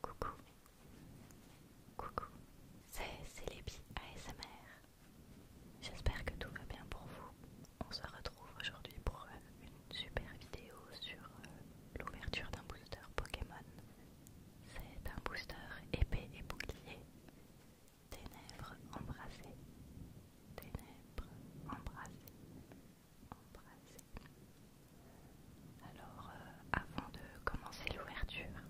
Coucou, coucou, c'est Célébi ASMR. J'espère que tout va bien pour vous. On se retrouve aujourd'hui pour euh, une super vidéo sur euh, l'ouverture d'un booster Pokémon. C'est un booster épée et bouclier. Ténèbres embrassées. Ténèbres embrassées. Embrassées. Alors, euh, avant de commencer l'ouverture,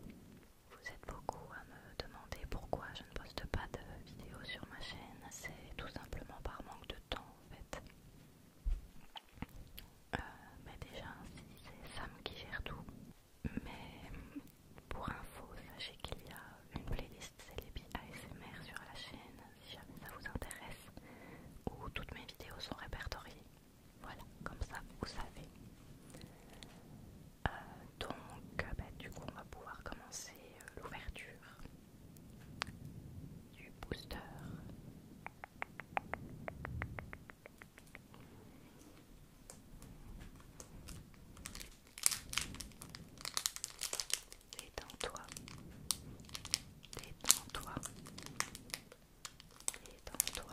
vous êtes beaucoup à me demander pourquoi je ne poste pas de vidéo sur ma chaîne. C'est tout simplement par manque de temps en fait. Euh, mais déjà, c'est Sam qui gère tout. Mais pour info, sachez qu'il y a une playlist Celebi ASMR sur la chaîne si jamais ça vous intéresse, où toutes mes vidéos sont répertoriées. Voilà, comme ça vous savez. Euh, donc, bah, du coup, on va pouvoir commencer euh, l'ouverture du booster. Détends-toi, détends-toi, détends-toi. toi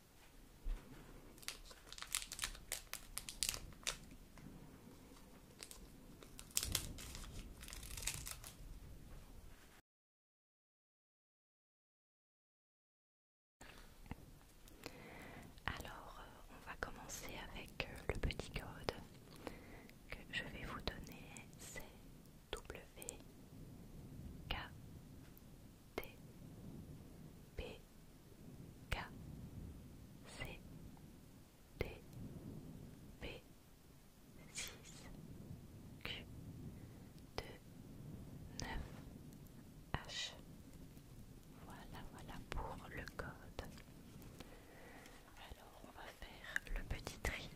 Alors, euh, on va commencer avec euh, le petit code que je vais vous donner, c'est W T P K C D P 6 Q 2 9 H Voilà voilà pour le code. Alors on va faire le petit tri.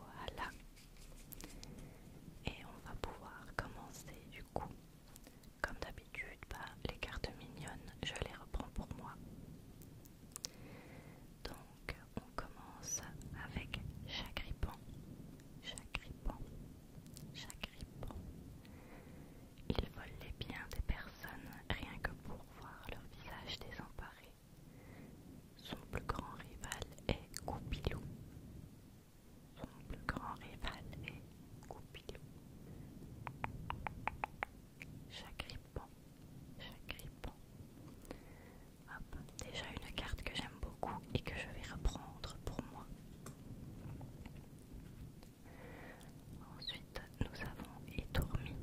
Voilà. Et on va pouvoir commencer du coup. Comme d'habitude, bah, les cartes mignonnes, je les reprends pour moi. Donc on commence avec Chagripan. Chagripan. Chagripan. Il vole les biens des personnes rien que pour voir leur visage désemparé. Son plus grand rival est Goupilou. Son plus grand rival est Goupilou. Chagrippant, chagrippant. Hop, déjà une carte que j'aime beaucoup et que je vais reprendre pour moi. Ensuite, nous avons étourmi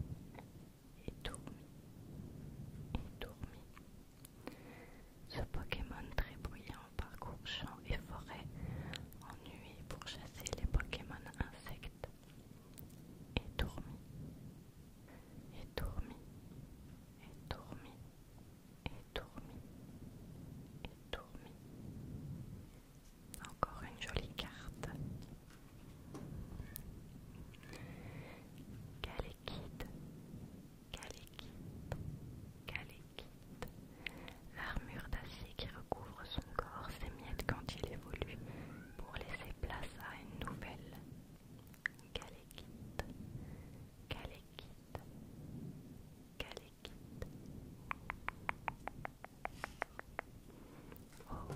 et dormi, et dormi. Ce Pokémon très bruyant parcourt champs et forêts nuit pour chasser les Pokémon insectes. Et et et dormi, et dormi, et dormi, et dormi. Et dormi. Encore une jolie carte. Caléquide, Caléquide, Caléquide. L'armure d'acier qui recouvre son corps s'émiette quand il évolue pour laisser place à une nouvelle. Caléquide, Caléquide, Caléquide. Oh,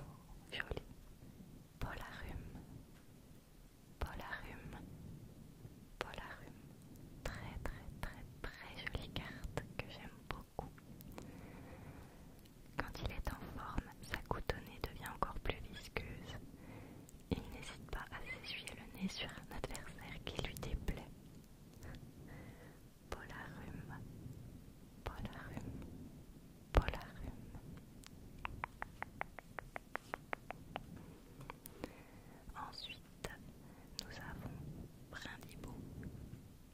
joli. Polarum. Polarum. Polarum. Très très très très jolie carte que j'aime beaucoup. Quand il est en forme, sa coutonnée devient encore plus visqueuse. Il n'hésite pas à s'essuyer le nez sur un adversaire qui lui déplaît. Polarum, Polarum, Polarum. Ensuite, nous avons Brindibo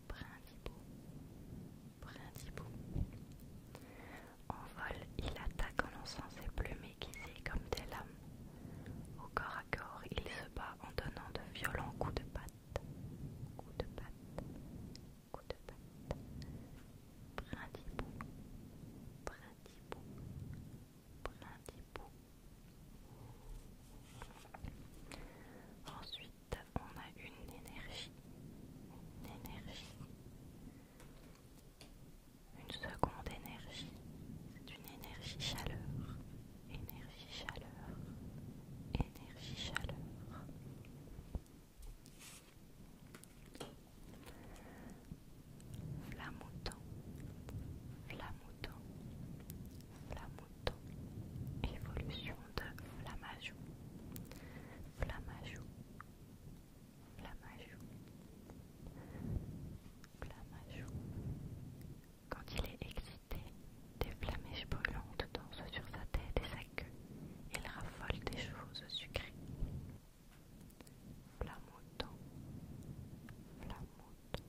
Brindibo Brindibo En vol, il attaque en lançant ses plumes aiguisées comme des lames. Au corps à corps, il se bat en donnant de violents coups de patte patte, coup de patte, coup de patte, brindibou, brindibou, brindibou. Ensuite, on a une énergie, une énergie, une seconde énergie, c'est une énergie chaleur énergie chaleur, énergie chaleur. flamotant flamotant flamotant évolution de flamajou flamajou flamajou flamajou quand il est excité, des flammes brûlantes dansent sur sa tête et sa queue. Il raffole des choses sucrées. Flamautant, flamautant.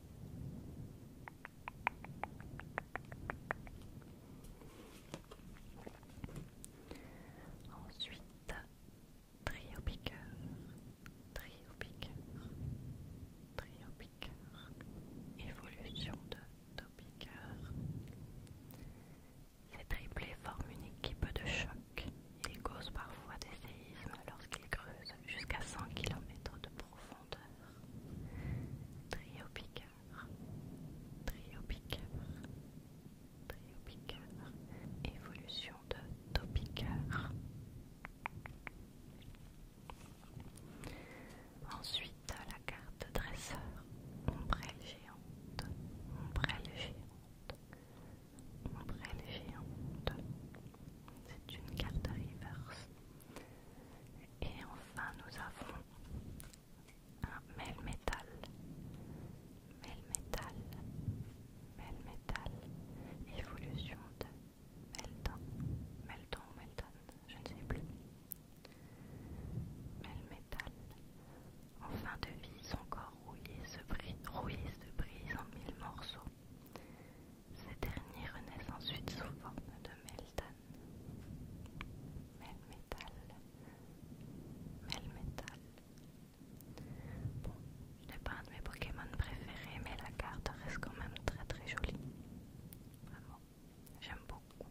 Ensuite, trio piqueur, trio piqueur, trio évolution de Topiker. Ces triplés forment une équipe de choc. Ils causent parfois des séismes lorsqu'ils creusent jusqu'à 100 km de profondeur. Trio évolution de Topicard. Ensuite, la carte dresseur, ombrelle géante, ombrelle géante, ombrelle géante. C'est une carte reverse. Et enfin, nous avons un mail métal, mail évolution de Melton, Melton ou Melton, je ne sais plus. Melmetal, en fin de vie, son corps rouillé se brise, se brise en mille morceaux. Ces derniers renaissent ensuite sous forme de Melton. Melton, Melmetal, Bon, n'est pas un de mes Pokémon préférés, mais la carte reste quand même très très jolie. Vraiment, j'aime beaucoup.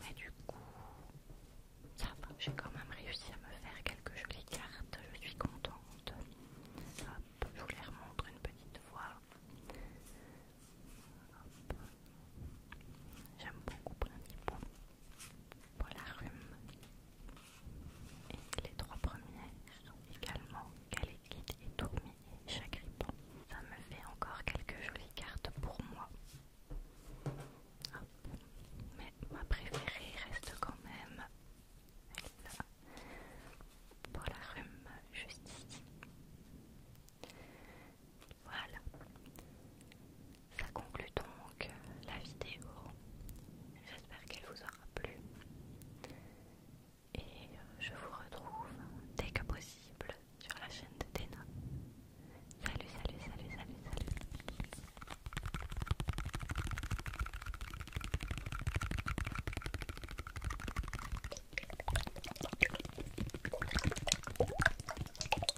Mais du coup, j'ai quand même réussi à me faire quelques jolies cartes, je suis contente. je vous les remontre une petite fois. J'aime beaucoup pour la rhume. Et les trois premières sont également et tourmi et chagripo Ça me fait encore quelques jolies cartes pour moi. Mais ma préférée reste quand même là Pour la rhume, juste ici. Voilà ça conclut donc la vidéo. J'espère qu'elle vous aura plu. Et euh, je vous retrouve dès que possible sur la chaîne de Déna Salut, salut, salut, salut, salut.